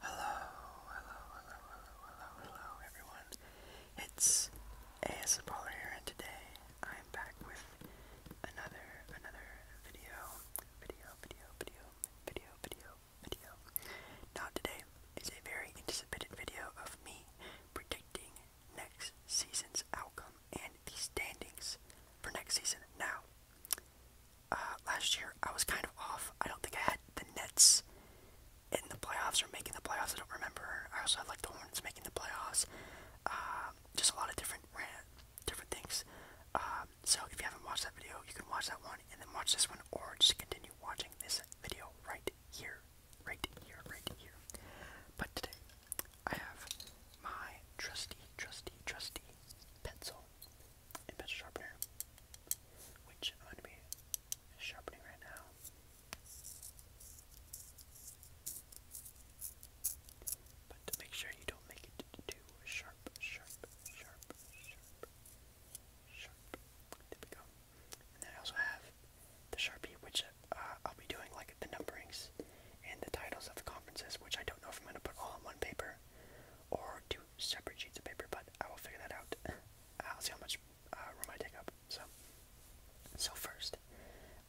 Hello, hello, hello, hello, hello, hello, everyone. It's ASMR here, and today I'm back with another, another video, video, video, video, video, video, video. Now today is a very anticipated video of me predicting next season's outcome and the standings for next season. Now, uh, last year I was kind of off. I don't think I had the Nets in the playoffs or making the playoffs. I don't remember. I also had like the Hornets making the playoffs. Uh, just a lot of different different things. Um, so if you haven't watched that video, you can watch that one and then watch this one, or just continue watching this video right here, right here, right here. But today I have my trusty, trusty, trusty pencil a pencil sharpener, which I'm going to be sharpening right now. But to make sure you don't make it too sharp, sharp, sharp, sharp, sharp. There we go. And then I also have the Sharpie, which uh, I'll be doing like the numberings and the titles of the conferences, which I don't know if I'm going to put all on one paper or do separate sheets of paper, but I will figure that out. I'll see how much uh, room I take up. So, so first,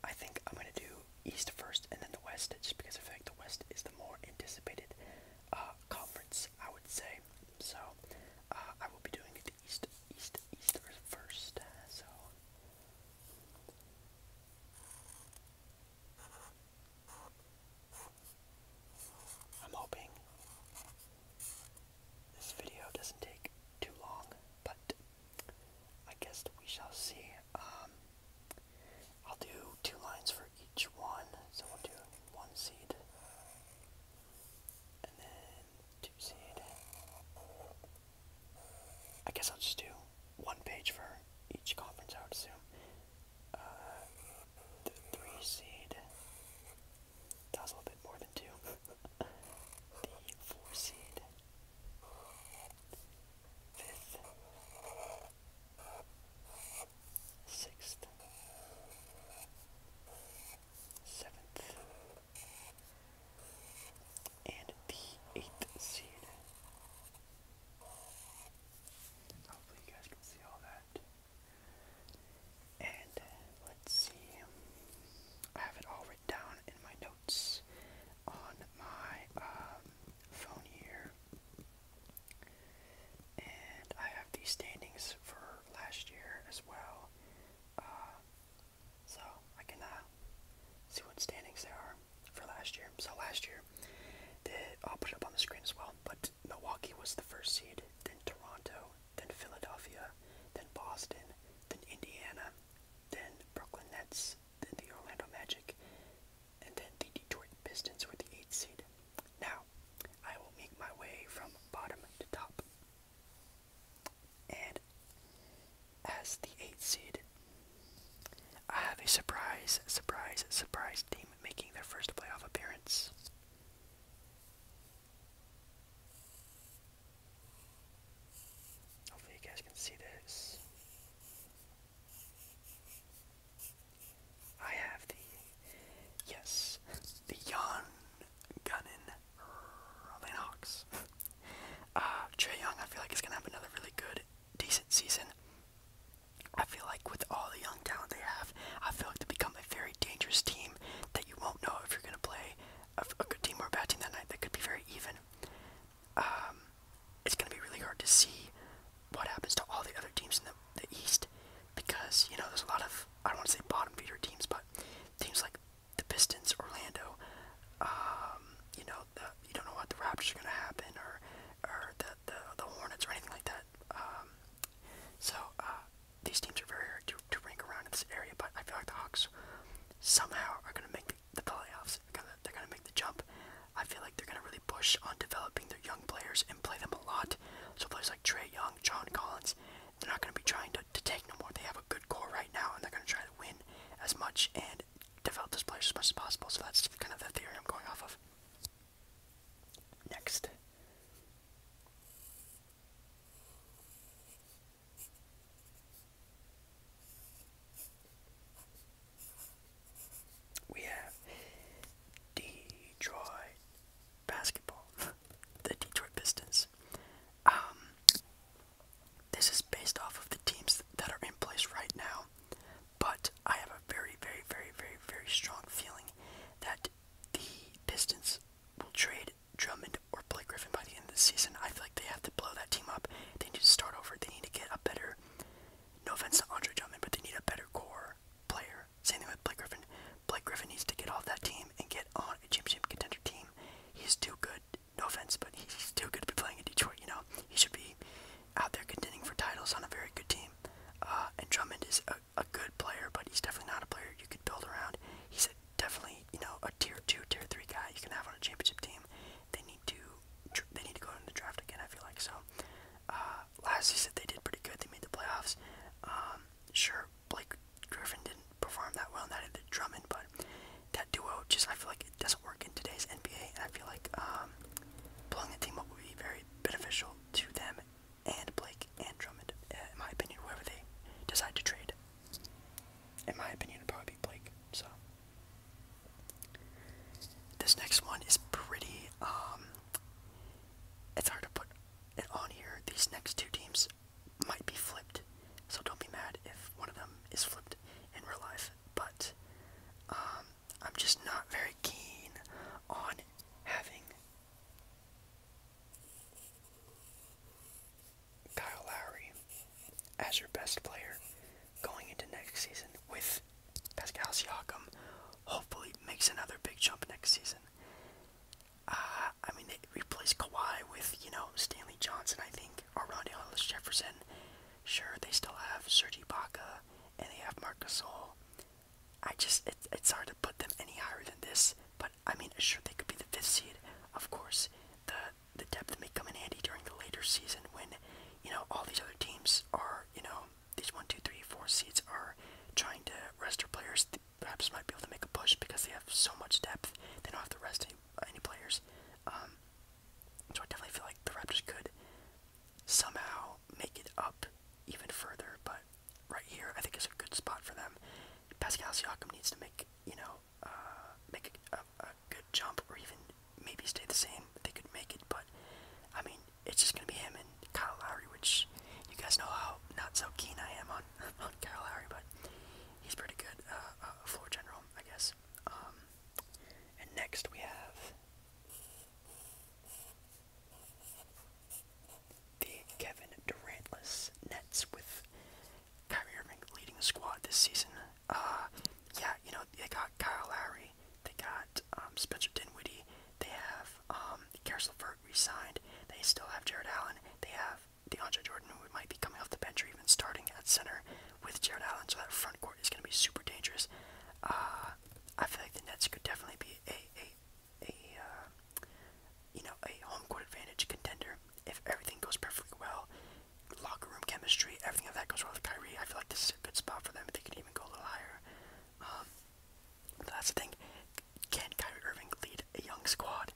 I think I'm gonna do East first and then the West, just because I feel like the West is the more anticipated uh, conference, I would say. So, uh, I will be doing it East, East, East first. So. I'm hoping this video doesn't take too long, but I guess we shall see. Um, I'll do two lines for each one, so we'll do one seed, and then two seed. I guess I'll just do one page for each conference, I would assume the three seed. That a little bit more than two. the four seed. Fifth. Sixth. Seventh. And the eighth seed. Hopefully, you guys can see all that. And uh, let's see, I have it all written down in my notes on my um, phone here. And I have the standings for last year as well. Uh, so I can uh, see what standings there are for last year. So last year, the, I'll put up on the screen as well, but Milwaukee was the first seed, then Toronto, then Philadelphia, then Boston, then Indiana, then Brooklyn Nets, then the Orlando Magic, and then the Detroit Pistons were the eighth seed. Now, I will make my way from bottom to top. And as the eighth seed, I have a surprise, surprise, surprise team making their first playoff appearance. Hopefully, you guys can see this. I have the, yes, the Jan Gunnan Robin Hawks. Uh, Trey Young, I feel like he's going to have another really good, decent season. I feel like with all the young talent they have, I feel like they become a very dangerous team that you won't know if you're going to play a, a good team or a bad team that night. That could be very even. Um, it's going to be really hard to see what happens to all the other teams in the, the East because, you know, there's a lot of, I don't want to say bottom feeder teams, but teams like the Pistons, Orlando, um, you know, the, you don't know what the Raptors are going to happen or, or the the, the Hornets or anything like that. Um, so uh, these teams are very hard to, to rank around in this area, but I feel like the Hawks somehow are going to make the, the playoffs. They're gonna, make the jump. I feel like they're going to really push on developing their young players and play them a lot. So players like Trey Young, John Collins, they're not going to be trying to, to take no more. They have a good core right now, and they're going to try to win as much and develop those players as much as possible. So that's kind of the theory I'm going off of. Next. We have Detroit basketball, the Detroit Pistons. Um, this is based off of the teams that are in place right now. But I have a very, very, very, very, very strong feeling that the Pistons will trade Drummond or Blake Griffin by the end of the season. I feel like they have to blow that team up. They need to start over. They need to get a better, no offense to Andre Drummond, but they need a better core player. Same thing with Blake Griffin. Blake Griffin needs to get off that team and get on a championship contender team. He's too good. No offense, but he's too good to be playing in Detroit, you know? He should be out there contending for titles on a very good team. Uh, and Drummond is a, good player, but he's definitely not a player you could build around. He's a, definitely, you know, a tier two, tier three guy you can have on a championship team. They need to, they need to go into the draft again. I feel like so. Uh, Lastly, said they did pretty good. They made the playoffs. Um, sure, Blake Griffin didn't perform that well, and that did Drummond, but that duo just I feel like it doesn't work in today's NBA, and I feel like blowing um, a team up would be very beneficial to them and Blake and Drummond, uh, in my opinion, whoever they decide to trade. In my opinion, it'd probably be Blake. So this next one is pretty. Um, it's hard to put it on here. These next two teams might be flipped, so don't be mad if one of them is flipped in real life. But um, I'm just not very keen on having Kyle Lowry as your best player going into next season with Pascal Siakam hopefully makes another big jump next season. Uh, I mean, they replace Kawhi with, you know, Stanley Johnson, I think, or Rondae Hollis Jefferson. Sure, they still have Serge Ibaka, and they have Marc Gasol, I just it, it's hard to put them any higher than this. But I mean, sure they could be the fifth seed. Of course, the the depth may come in handy during the later season when you know all these other teams are you know these one, two, three, four seeds are trying to rest their players. They perhaps might be able to make a push because they have so much depth. They don't have to rest any, any players. Um, so I definitely feel like the Raptors could somehow make it up even further. But right here, I think is a good spot for them. Pascal Siakam needs to make you know uh, make a, a, good jump or even maybe stay the same. They could make it, but I mean it's just gonna be him and Kyle Lowry, which you guys know how not so keen I am on on Kyle Lowry, but he's pretty good uh, uh floor general, I guess. Um, and next we have the Kevin Durantless Nets with Kyrie Irving leading the squad this season. Uh, yeah, you know they got Kyle Lowry, they got um, Spencer Dinwiddie, they have um, Karis LeVert re-signed, they still have Jared Allen, they have DeAndre Jordan who might be coming off the bench or even starting at center with Jared Allen, so that front court is going to be super dangerous. Uh, uh, I feel like the Nets could definitely be a a a uh, you know a home court advantage contender if everything goes perfectly well. Locker room chemistry, everything of that goes well with Kyrie. I feel like this is a good spot for them. They could even go a little higher. Um, but that's the thing. Can Kyrie Irving lead a young squad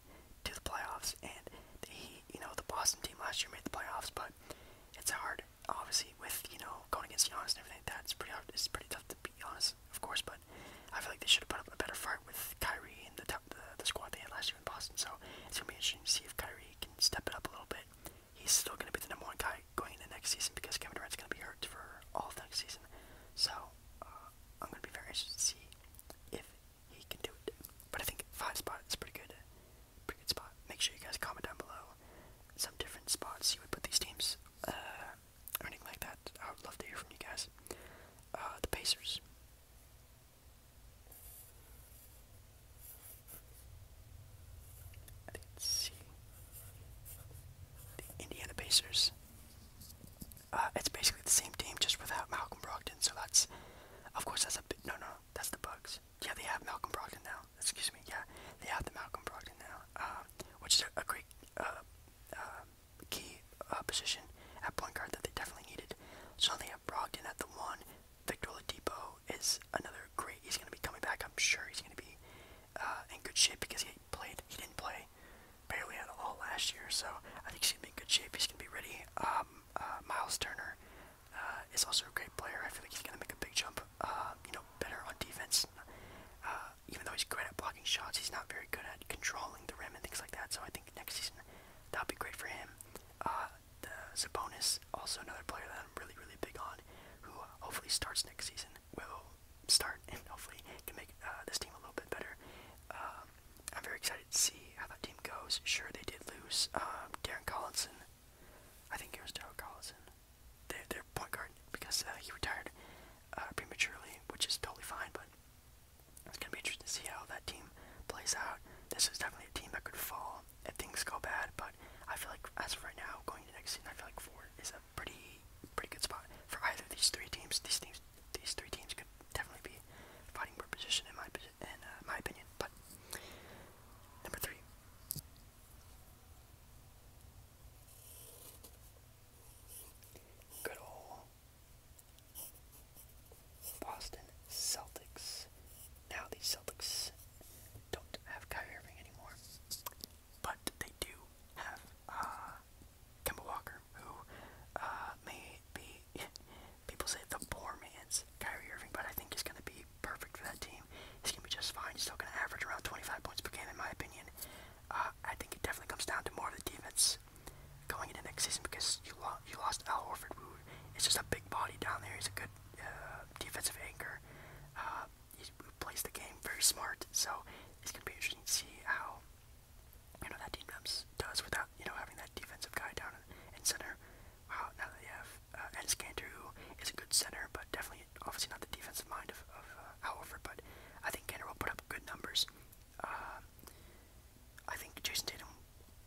to the playoffs? And he, you know, the Boston team last year made the playoffs, but it's hard obviously with you know going against Giannis and everything, that's pretty hard. It's pretty tough to beat Giannis, of course. But I feel like they should have put up a better fight with Kyrie and the, the the squad they had last year in Boston. So it's gonna be interesting to see if Kyrie can step it up a little bit. He's still gonna be the number one guy going into next season because Kevin Durant's gonna be hurt for all of next season. So uh, I'm gonna be very interested to see if he can do it. But I think five spot is pretty good Pretty good spot. Make sure you guys comment down below some different spots you would put these teams, uh, anything like that. I would love to hear from you guys. Uh, the Pacers. I think it's The Indiana Pacers. Uh, it's basically the same team, just without Malcolm Brogdon. So that's, of course, that's a No, no, that's the Bucks. Yeah, they have Malcolm Brogdon now excuse me, yeah, they have the Malcolm Brogdon now, um, which is a, great uh, um, key uh, position at point guard that they definitely needed. So now they have Brogdon at the one. Victor Oladipo is another great. He's going to be coming back. I'm sure he's going to be uh, in good shape because he played. He didn't play barely at all last year, so I think he's going to be in good shape. He's going to be ready. Um, Miles Turner is also a great player. I feel like he's going to make a big jump uh, you know, better on defense. Uh, even though he's great at blocking shots, he's not very good at controlling the rim and things like that. So I think next season that'll be great for him. Uh, Sabonis, also another player that I'm really, really big on, who hopefully starts next season, will start and hopefully can make this team a little bit better. Um, I'm very excited to see how that team goes. Sure, they did lose um, Darren Collison. I think it was Darrell Collison, their, their point guard, because uh, he retired uh, prematurely, which is totally fine, but it's going to be interesting to see how that team plays out. This is definitely a team that could fall if things go bad, but I feel like as of right now, going into next season, I feel like four is a pretty pretty good spot for either of these three teams. These teams, these three teams could definitely be fighting for position in my in uh, my opinion. But number three, Good old Boston Celtics. Now the Celtics don't have Kyrie Irving anymore, but they do have uh, Kemba Walker, who uh, may be people say the poor man's Kyrie Irving, but I think he's gonna be be perfect for that team. He's going to be just fine. He's still going to average around 25 points per game, in my opinion. Uh, I think it definitely comes down to more of the defense going into next season because you, lo you lost Al Horford, who is just a big body down there. He's a good uh, defensive anchor. Uh, he plays the game very smart, so it's going to be interesting to see how you know that team does without you know having that defensive guy down in, in center. Wow, now that they have uh, Ennis Cantor, who is a good center, but definitely obviously not the defensive mind of, uh, however, but I think Cantor will put up good numbers. Uh, I think Jason Tatum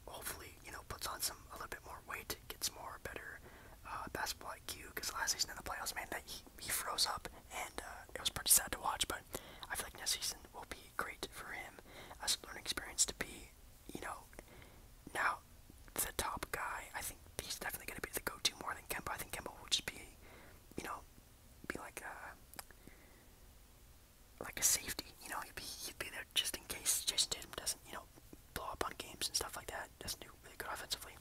hopefully, you know, puts on some a little bit more weight, gets more better uh, basketball IQ, because last season in the playoffs, man, that he, he froze up, and it was pretty sad to watch, but I feel like next season will be great for him as a learning experience to be, you know, now, the top guy, I think he's definitely going to be the go-to more than Kemba. I think Kemba will just be, you know, be like a like a safety. You know, he'd be he'd be there just in case Jason Tatum doesn't, you know, blow up on games and stuff like that. Doesn't do really good offensively.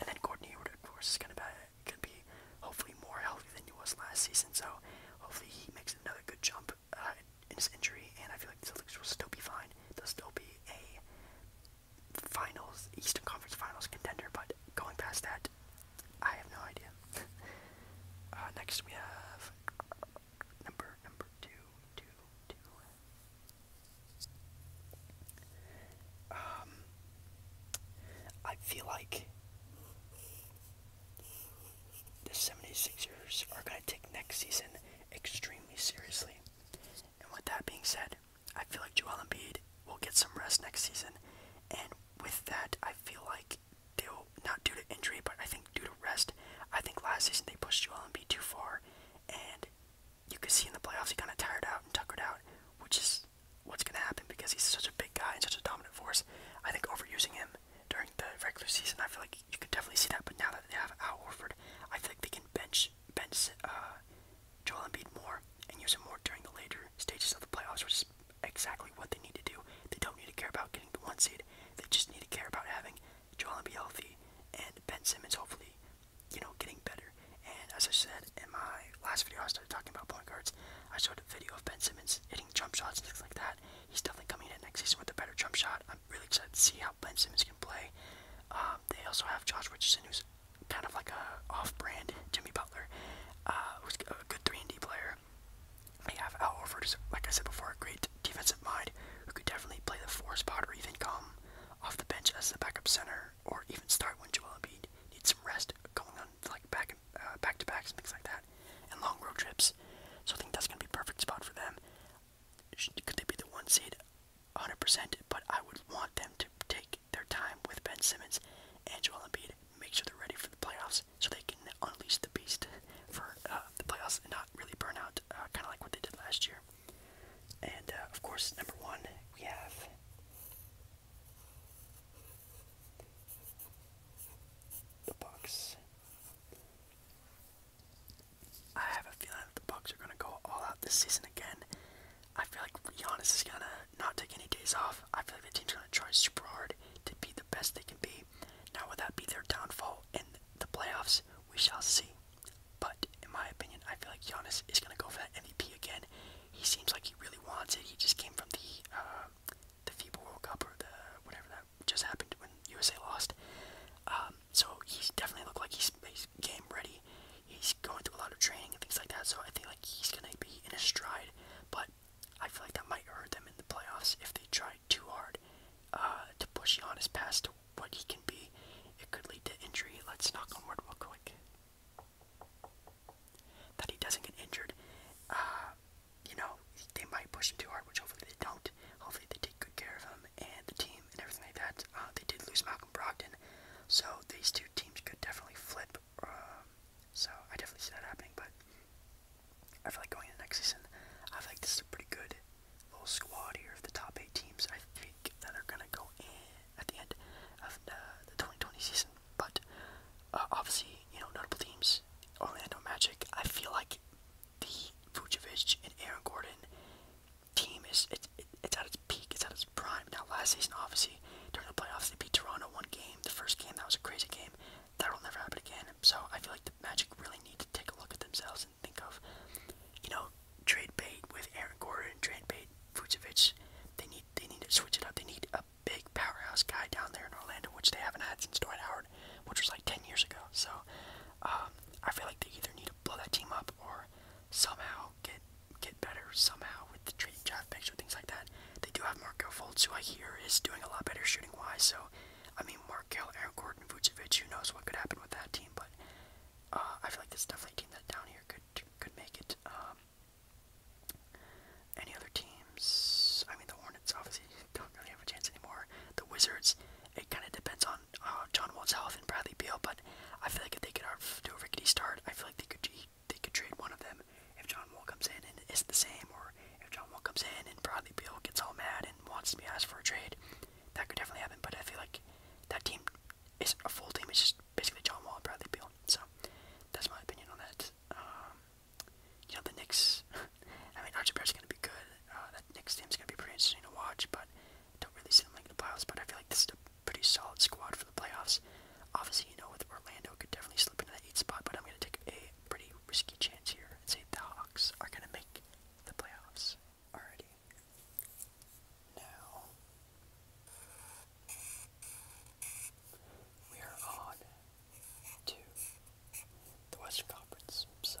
And then Gordon Hayward, of course, is going to be could be hopefully more healthy than he was last season. So hopefully he makes another good jump uh, in his injury. And I feel like the Celtics will still be fine. They'll still be a finals, Eastern Conference Finals contender, but going past that, I have no idea. Uh, next we have number number two, two, two. Um, I feel like the 76ers are going to take next season extremely seriously. And with that being said, I feel like Joel Embiid will get some rest next season. And with that, I feel like they'll, not due to injury, but I think due to rest, I think last season they pushed Joel Embiid too far. And you could see in the playoffs he kind of tired out and tuckered out, which is what's going to happen because he's such a big guy and such a dominant force. I think overusing him during the regular season, I feel like you could definitely see that. But now that they have Al Horford, I think they can bench bench uh, Joel Embiid more and use him more during the later stages of the playoffs, which is exactly what they need to do. They don't need to care about getting the one seed. They just need to care about having Joel Embiid healthy and Ben Simmons hopefully, you know, getting better. And as I said in my last video, I started talking about point guards. I showed a video of Ben Simmons hitting jump shots and things like that. He's definitely coming in next season with a better jump shot. I'm really excited to see how Ben Simmons can play. Um, they also have Josh Richardson, who's kind of like a off-brand Jimmy Butler, uh, who's a good three and D player. They have Al Horford, who's, like I said before, a great defensive mind who could definitely play the four spot or even come off the bench as the backup center or even start when Joel Embiid needs some rest going on like back and uh, back to backs and things like that and long road trips. So I think that's gonna be perfect spot for them could they be the one seed? 100%, but I would want them to take their time with Ben Simmons and Joel Embiid, make sure they're ready for the playoffs so they can unleash the beast for uh, the playoffs and not really burn out, uh, kind of like what they did last year. And uh, of course, number one, we have. The Bucks. I have a feeling that the Bucks are gonna go all out this season again. I feel like Giannis is gonna not take any days off. I feel like the team is gonna try super hard to be the best they can be. Now, will that be their downfall in the playoffs? We shall see. But in my opinion, I feel like Giannis is gonna go for that MVP again. He seems like he really wants it. He just came from the uh, the FIBA World Cup or the whatever that just happened when USA lost. Um, so he's definitely looked like he's, game ready. He's going through a lot of training and things like that. So I think like he's gonna be in his stride. But I feel like that might hurt them in the playoffs if they try too hard uh, to push his past to what he can be. It could lead to injury. Let's knock on wood real quick that he doesn't get injured. Uh, you know, they might push him too hard, which hopefully they don't hopefully they take good care of him and the team and everything like that. Uh, they did lose Malcolm Brogdon, so these two teams could definitely flip. Um, so I definitely see that happening, but I feel like going into next season, I feel like this is a pretty good little squad here of the top eight teams. I think that are gonna go in at the end of the, 2020 season, but uh, obviously, you know, notable teams. Orlando Magic. I feel like the Vucevic and Aaron Gordon team is it's it's at its peak, it's at its prime. Now last season obviously during the playoffs they beat Toronto one game, the first game that was a crazy game. That'll never happen again. So I feel like the Magic really need to take a look at themselves and think of, you know, trade bait with Aaron Gordon, trade bait Vucevic. They need they need to switch it up. They need a big powerhouse guy down there in Orlando, which they haven't had since Dwight Howard, which was like ten years ago. So um, I feel like they either need blow that team up or somehow get get better somehow with the trade draft picks or things like that. They do have Markel Fultz, who I hear is doing a lot better shooting wise. So, I mean, Markel, Aaron Gordon, Vucevic, who knows what could happen with that team? But uh, I feel like this definitely a team that down here could could make it. Um, any other teams? I mean, the Hornets obviously don't really have a chance anymore. The Wizards. It kind of depends on John uh, John Woods Health and Bradley Beal, but I feel like if they could do a rickety start, I feel like they could they could trade one of them if John Wall comes in and it's the same, or if John Wall comes in and Bradley Beal gets all mad and wants to be asked for a trade, that could definitely happen. But I feel like that team isn't a full team; it's just basically John Wall and Bradley Beal. So that's my opinion on that. Um, you know the Knicks. I mean, Archie Barrett's gonna be good. Uh, that Knicks team's gonna be pretty interesting to watch, but don't really see them making the playoffs, but I feel like this is a pretty solid squad for the playoffs. Obviously, you know, with Orlando could definitely slip into that eight spot, but I'm gonna take a pretty risky chance here and say the Hawks are gonna make the playoffs. Alrighty. Now we are on to the Western Conference, so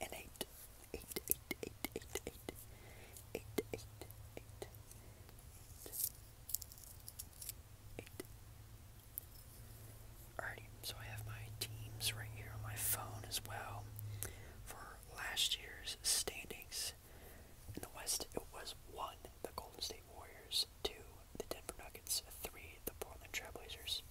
eight, eight, eight, eight, eight, eight. Alrighty, so I have my teams right here on my phone as well. For last year's standings in the West, it was one, the Golden State Warriors, two, the Denver Nuggets, three, the Portland Trailblazers.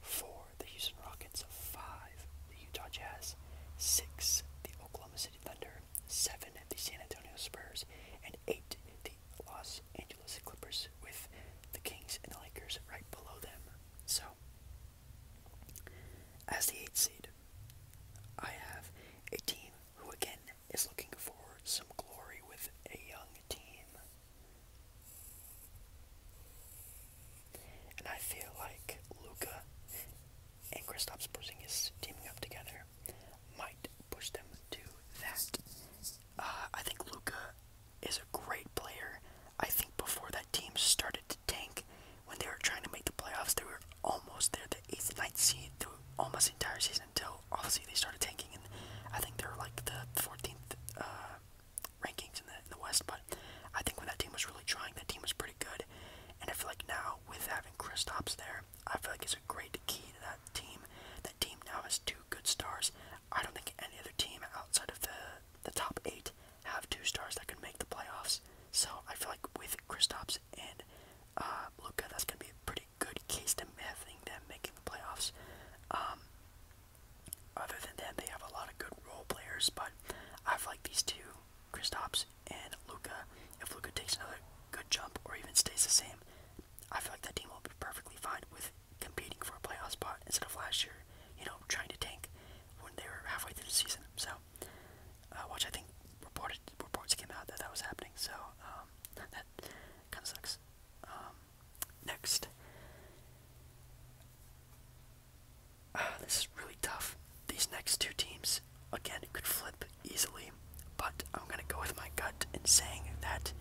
Four, the Houston Rockets. Five, the Utah Jazz. Six, the Oklahoma City Thunder. Seven, the San Antonio Spurs. And eight, the Los Angeles Clippers, with the Kings and the Lakers right below them. So, as the eighth seed, I have a team who again is looking for some glory with a young team. And I feel like Luca and Kristaps Porzingis teaming up together might push them to that. Uh, I think Luca is a great player. I think before that team started to tank, when they were trying to make the playoffs, they were almost there, the eighth, ninth seed, through almost the entire season until obviously they started tanking, and I think they are like the 14th rankings in the, in the West, but I think when that team was really trying, that team was pretty good. And I feel like now, with having Kristaps there, I feel like it's a great key to that team. That team now has two good stars. I don't think any other team outside of the the top eight have two stars that can make the playoffs. So I feel like with Kristaps and uh, Luca, that's gonna be a pretty good case to having them making the playoffs. Um, other than that, they have a lot of good role players, but I've liked these two, Kristaps and Luca. If Luca takes another good jump or even stays the same, I feel like that team will be perfectly fine with competing for a playoff spot instead of last year, you know, trying to tank when they were halfway through the season. So, uh, which I think reported reports came out that that was happening. So um, that kind of sucks. Um, next, Ah, this is really tough. These next two teams, again, could flip easily, but I'm going to go with my gut in saying that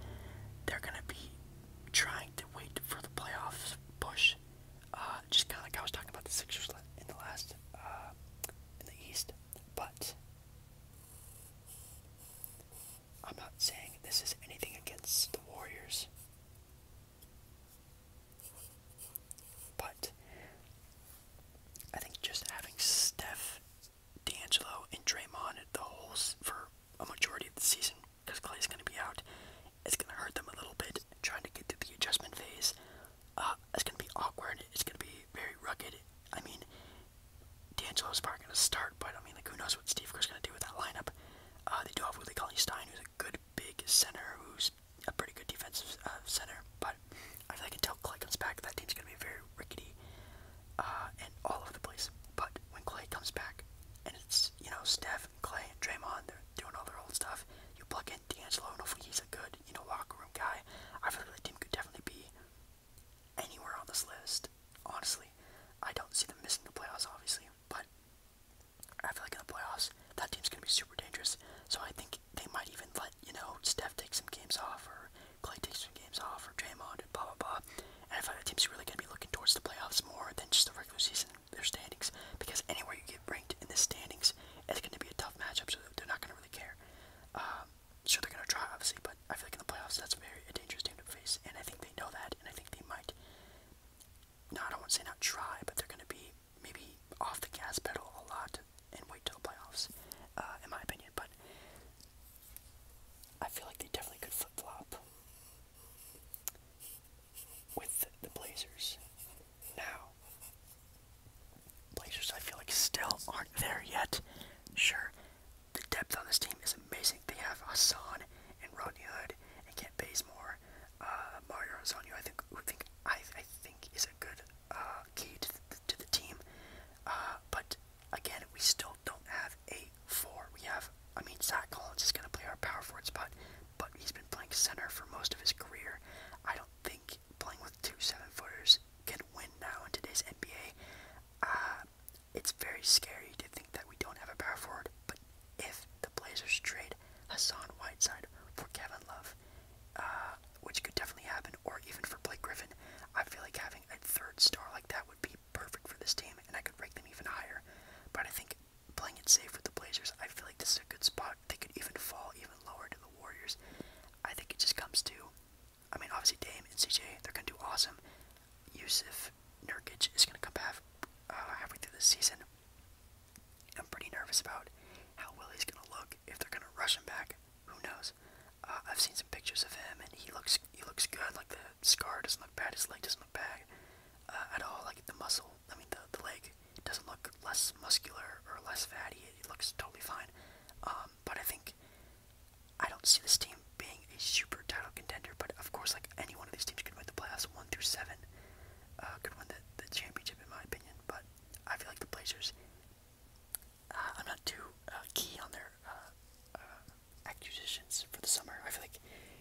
they're going to be trying to wait for the playoffs push. Uh, just kind of like I was talking about the Sixers in the last, uh, in the East, but I'm not saying this is anything against the Warriors. But I think just having Steph, D'Angelo, and Draymond at the holes for a majority of the season, because Clay's going to be out, it's going to hurt them a little bit trying to get through the adjustment phase. Uh, it's going to be awkward. It's going to be very rugged. I mean, D'Angelo's probably going to start, but I mean, like, who knows what Steve Kerr's going to do with that lineup. Uh, they do have Willie Cauley Stein, who's good big center who's a pretty good defensive uh, center, but I think until Clay comes back, that team's going to be very rickety and uh, all over the place. But when Clay comes back, and it's, you know, Steph, Clay, and Draymond, they're doing all their old stuff, you plug in D'Angelo, and hopefully he's a good, you know, locker room guy. I feel like the team could definitely be anywhere on this list, honestly. I don't see them missing the playoffs, obviously, but I feel like in the playoffs, that team's going to be super dangerous. So I think they might even let, you know, Steph take some games off, or Clay take some games off, or Draymond, and blah, blah, blah. And I feel like the team's really going to be looking towards the playoffs more than just the regular season, their standings. Because anywhere you get ranked in the standings, it's going to be a tough matchup, so they're not going to really care. Um, sure, they're going to try, obviously, but I feel like in the playoffs, that's very a dangerous team to face. And I think they know that, and I think they might no, I don't want to say not try, but they're going to be maybe off the gas pedal a lot and wait till the playoffs, uh, in my opinion. But I feel like they definitely could flip flop with the Blazers. Now, Blazers, I feel like still aren't there yet. Sure, the depth on this team is amazing. They have Hassan and Rodney Hood and Kent Bazemore. Uh, Mario Rosano, I think, I, think is a good uh, key to the, team. Uh, but again, we still don't have a four. We have, I mean, Zach Collins is going to play our power forward spot, but he's been playing center for most of his career. I don't think playing with two seven footers can win now in today's NBA. it's very scary to think that we don't have a power forward, but if the Blazers trade traded Whiteside for Kevin Love, uh, which could definitely happen, or even for Blake Griffin. I feel like having a third star like that would be perfect for this team, and I could rank them even higher. But I think playing it safe with the Blazers, I feel like this is a good spot. They could even fall even lower to the Warriors. I think it just comes to, I mean, obviously Dame and CJ, they're going to do awesome. Yusuf Nurkic is going to come back uh, halfway through the season. I'm pretty nervous about how Willie's gonna look if they're gonna rush him back. Who knows? Uh, I've seen some pictures of him, and he looks he looks good. Like the scar doesn't look bad. His leg doesn't look bad uh, at all. Like the muscle, I mean the the leg doesn't look less muscular or less fatty. It, looks totally fine. Um, but I think I don't see this team being a super title contender. But of course, like any one of these teams could win the playoffs one through seven uh, could win the, the championship, in my opinion. But I feel like the Blazers, uh, I'm not too uh, key on their uh, uh, acquisitions for the summer. I feel like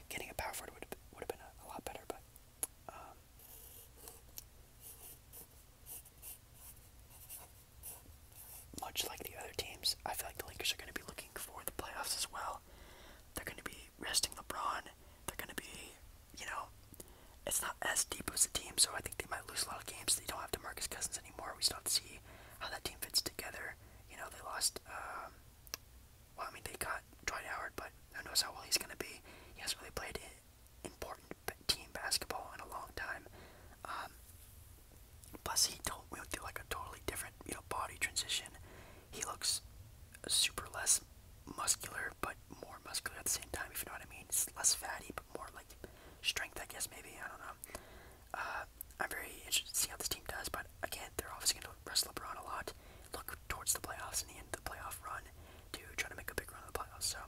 getting a power forward would would have been a, a lot better, but. Um, much like the other teams, I feel like the Lakers are going to be looking for the playoffs as well. They're going to be be resting LeBron. They're going to be, you know, it's not as deep as a team, so I think they might lose a lot of games. They don't have DeMarcus Cousins anymore. We still have to see how that team fits together. You know, they lost, um, well, I mean, they got Dwight Howard, but who knows how well he's going to be. He hasn't really played important team basketball in a long time. Um, plus, he don't, we do like a totally different, you know, body transition. He looks super less muscular but more muscular at the same time, if you know what I mean. It's less fatty but more like strength, I guess, maybe. I don't know. Uh, I'm very interested to see how this team does, but again, they're obviously going to wrestle LeBron a lot, look towards the playoffs and the end of the playoff run to try to make a big run in the playoffs. So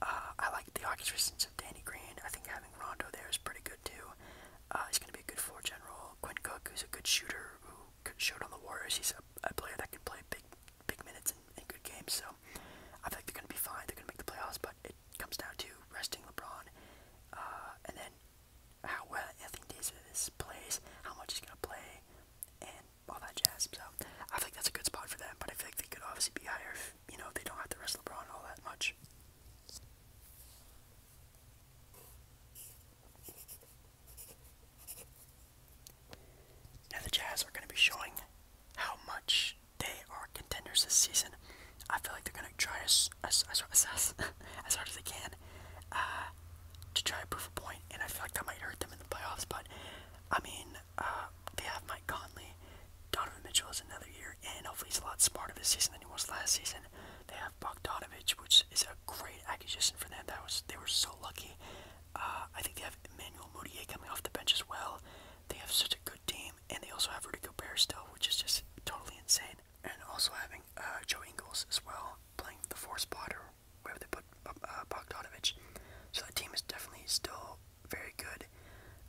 uh, I like the Hawks' resistance of Danny Green. I think having Rondo there is pretty good too. Uh, he's going to be a good floor general. Quinn Cook, who's a good shooter, showed on the Warriors. He's a, a player that can play big, big minutes in, good games. So I think they're going to be fine. They're going to make the playoffs, but it comes down to resting LeBron, uh, and then how well Anthony Davis plays, how much he's going to play, and all that jazz. So I think that's a good spot for them. But I think they could obviously be higher, if, you know, if they don't have to rest LeBron all that much. Now, the Jazz are going to be showing how much they are contenders this season. I feel like they're going to try as, as, as, as, as hard as they can uh, to try to prove a point, and I feel like that might hurt them in the playoffs. But, I mean, uh, they have Mike Conley. Donovan Mitchell is another year, and hopefully he's a lot smarter this season than he was last season. They Bogdanovich, which is a great acquisition for them. That was they were so lucky. Uh, I think they have Emmanuel Mudiay coming off the bench as well. They have such a good team, and they also have Rudy Gobert still, which is just totally insane. And also having uh, Joe Ingles as well playing the four spot or wherever they put uh, Bogdanovich. So that team is definitely still very good.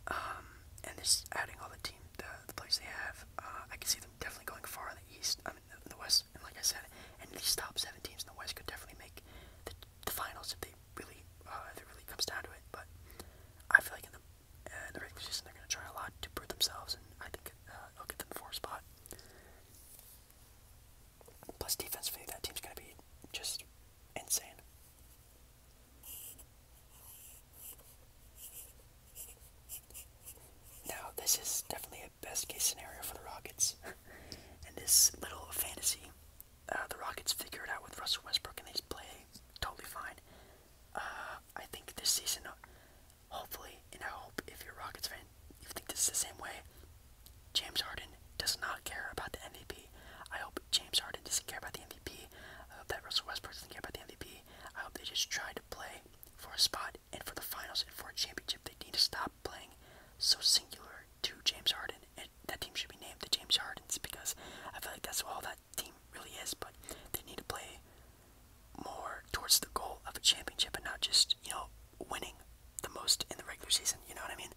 Um, and this adding all the team, the, the they have, I can see them definitely going far in the East. I mean, in the West. And like I said, and these top seven teams in the West could definitely make the, finals if they really, uh, if it really comes down to it. But I feel like in the, uh, in the regular season they're going to try a lot to prove themselves, and I think uh, I'll get them the fourth spot. Plus defensively, that team's going to be just insane. Now, this is definitely a best case scenario for the Rockets. and this little fantasy, uh, the Rockets figure it out with Russell Westbrook and they play totally fine. Uh, I think this season, hopefully, and I hope if you're a Rockets fan, you think this is the same way. James Harden does not care about the MVP. I hope James Harden doesn't care about the MVP. I hope that Russell Westbrook doesn't care about the MVP. I hope they just try to play for a spot and for the finals and for a championship, they need to stop playing so singular to James Harden. And that team should be named the James Hardens because I feel like that's all that team really is. But they need to play more towards the goal of a championship and not just, you know, winning the most in the regular season. You know what I mean?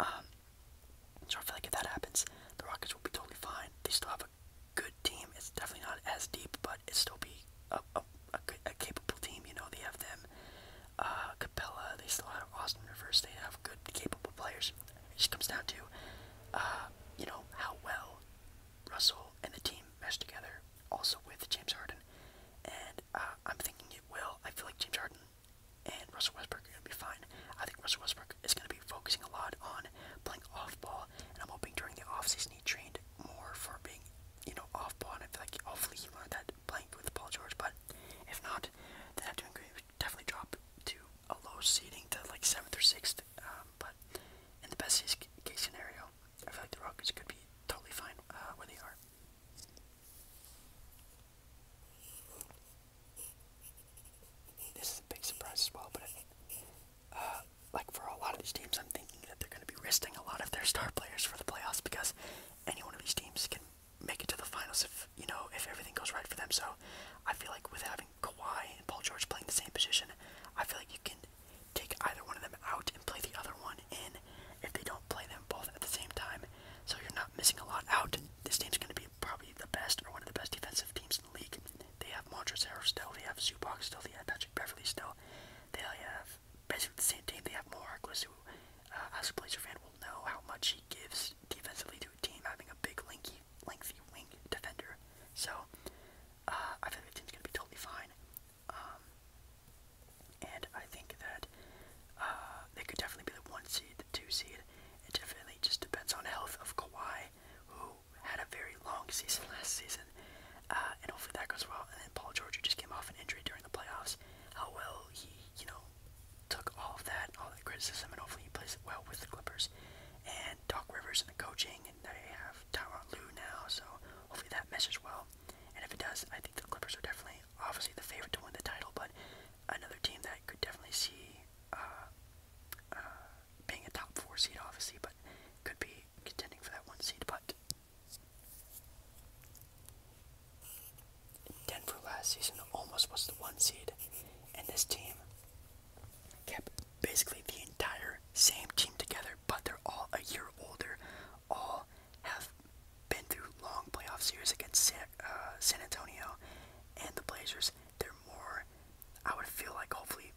Um, so I feel like if that happens, the Rockets will be totally fine. They still have a good team. It's definitely not as deep, but it still be a, a a, a capable team. You know, they have them. Uh, Capella, they still have Austin Rivers. They have good, capable players. It just comes down to, uh, you know, how well Russell and the team mesh together. Also with James Harden, and uh, I'm thinking it will. I feel like James Harden and Russell Westbrook are gonna be fine. I think Russell Westbrook is gonna be focusing a lot on playing off ball, and I'm hoping during the offseason he trained more for being you know, off ball, and I feel like hopefully he learned that playing with Paul George. But if not, then I have to agree, definitely drop to a low seeding to like seventh or sixth. Um, but in the best case scenario, I feel like the Rockets could be totally fine uh, where they are. This is a big surprise as well, but. Uh, like for a lot of these teams, I'm thinking that they're going to be risking a lot of their star players for the playoffs because any one of these teams can make it to the finals if you know if everything goes right for them. So I feel like with having Kawhi and Paul George playing the same position, I feel like you can take either one of them out and play the other one in if they don't play them both at the same time. So you're not missing a lot out. This team's going to be probably the best or one of the best defensive teams in the league. They have Montrezl Harrell still. They have Zubac still. They have Beverly still. They have basically the same team. They have more who, uh, as a Blazer fan, will know how much he gives defensively to a team having a big, linky, lengthy wing defender. So, uh, I think the team's going to be totally fine. Um, and I think that uh, they could definitely be the one seed, the two seed. It definitely just depends on health of Kawhi, who had a very long season last season, uh, and hopefully that goes well. And then Paul George, who just came off an injury during the playoffs, how well he, you know, took all of that, all that criticism, and hopefully he plays well with the Clippers. And Doc Rivers and the coaching, and they have Tyron Lue now, so hopefully that measures well. And if it does, I think the Clippers are definitely, obviously, the favorite to win the title, but another team that could definitely see. Uh, uh, being a top four seed, obviously, but could be contending for that one seed, but Denver last season almost was the one seed, and this team kept basically the entire same team together, but they're all a year older, all have been through long playoff series against uh, San Antonio and the Blazers. They're more, I would feel like, hopefully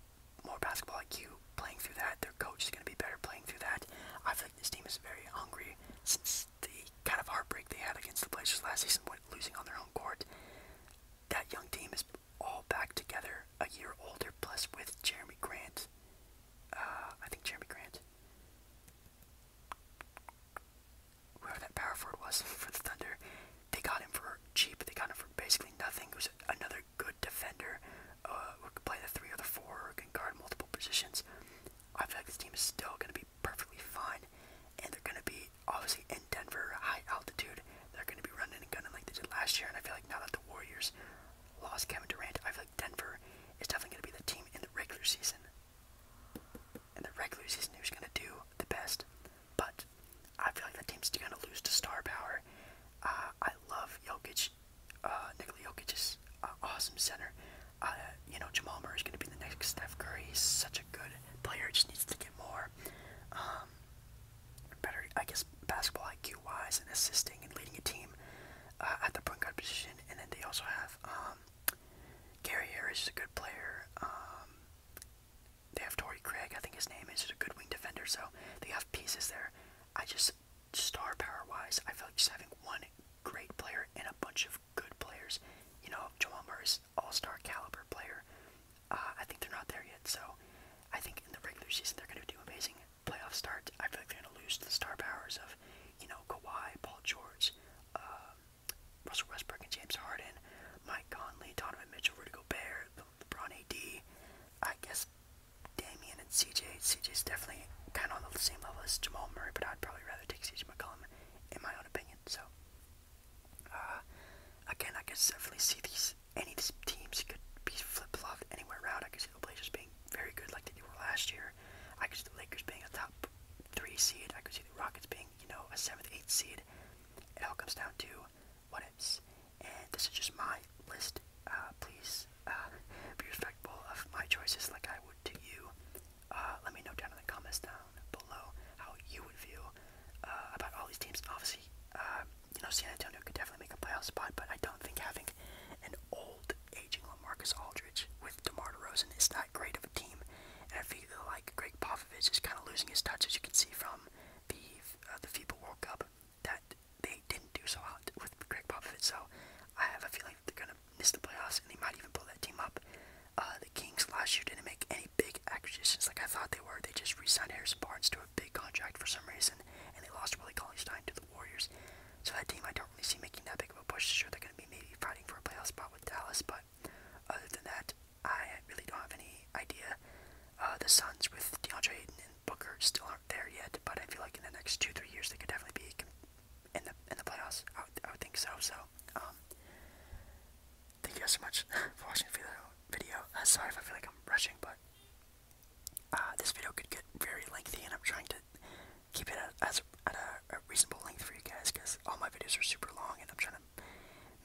more basketball IQ playing through that. Their coach is going to be better playing through that. I feel like this team is very hungry since the kind of heartbreak they had against the Blazers last season, when losing on their own court. That young team is all back together, a year older, plus with Jeremy Grant. Uh, I think Jeremy Grant. Whoever that power forward was for the Thunder, they got him for cheap. They got him for basically nothing. It was another good defender uh, can play the three or the four, can guard multiple positions. I feel like this team is still going to be perfectly fine, and they're going to be obviously in Denver, high altitude. They're going to be running and gunning like they did last year, and I feel like now that the Warriors lost Kevin Durant, I feel like Denver is definitely going to be the team in the regular season. and the regular season, who's going to do the best? But I feel like that team's going to lose to star power. Uh, I love Jokic. Uh, Nikola Jokic is uh, awesome center. Uh, you know, Jamal Murray is going to be the next Steph Curry. He's such a good player. Just needs to get more, um, better. I guess basketball IQ wise and assisting and leading a team uh, at the point guard position. And then they also have um, Gary Harris is a good player. Um, they have Torrey Craig, I think his name is, just a good wing defender. So they have pieces there. I just star power wise, I feel like just having one great player and a bunch of good players. You know, Jamal Murray's all star caliber player. Uh, I think they're not there yet, so I think in the regular season they're going to do amazing playoff starts. I feel like they're going to lose the star powers of, you know, Kawhi, Paul George, um, Russell Westbrook, and James Harden, Mike Conley, Donovan Mitchell, Rudy Gobert, the LeBron AD. I guess Damien and CJ. CJ's definitely kind of on the same level as Jamal Murray, but I'd probably rather take CJ McCollum in my own opinion. So, uh, again, I could definitely see these any of these teams could be flip flopped anywhere around. I could see the Blazers being very good like they were last year. I could see the Lakers being a top three seed. I could see the Rockets being, you know, a seventh, eighth seed. It all comes down to what ifs. And this is just my list. Uh, please uh, be respectful of my choices like I would to you. Uh, let me know down in the comments down below how you would feel about all these teams. Obviously, you know, San Antonio could definitely make a playoff spot, but I don't think having an old, aging LaMarcus Aldridge with DeMar DeRozan is not great of a team. And I feel like Greg Popovich is kind of losing his touch, as you can see from the uh, the FIBA World Cup that they didn't do so hot with Greg Popovich. So I have a feeling they're gonna miss the playoffs, and they might even pull that team up. Uh, the Kings last year didn't make any big acquisitions like I thought they were. They just resigned signed Harrison Barnes to a big contract for some reason, and they lost Willie Cauley-Stein to the Warriors. So that team I don't really see making that big of a push. Sure, they're gonna be maybe fighting for a playoff spot with Dallas, but other than that, I really don't have any idea. Uh, the Suns with DeAndre Ayton and Booker still aren't there yet, but I feel like in the next two, three years they could definitely be in the in the playoffs. I would, I think so. So, um, thank you guys so much for watching this video. Uh, sorry if I feel like I'm rushing, but uh, this video could get very lengthy, and I'm trying to keep it at, as at a reasonable length for you guys because all my videos are super long, and I'm trying to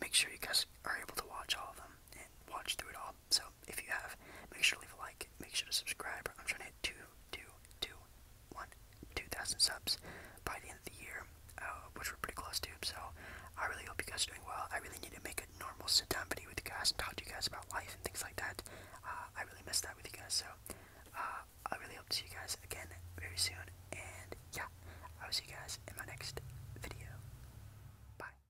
make sure you guys are able to watch all of them and watch through it all. So if you have, make sure to leave a like, make sure to subscribe. I'm trying to hit two, two, two, one, two thousand subs by the end of the year, uh, which we're pretty close to. So I really hope you guys are doing well. I really need to make a normal sit-down video with you guys and talk to you guys about life and things like that. Uh, I really miss that with you guys. So uh, I really hope to see you guys again very soon. And yeah, I will see you guys in my next video. Bye.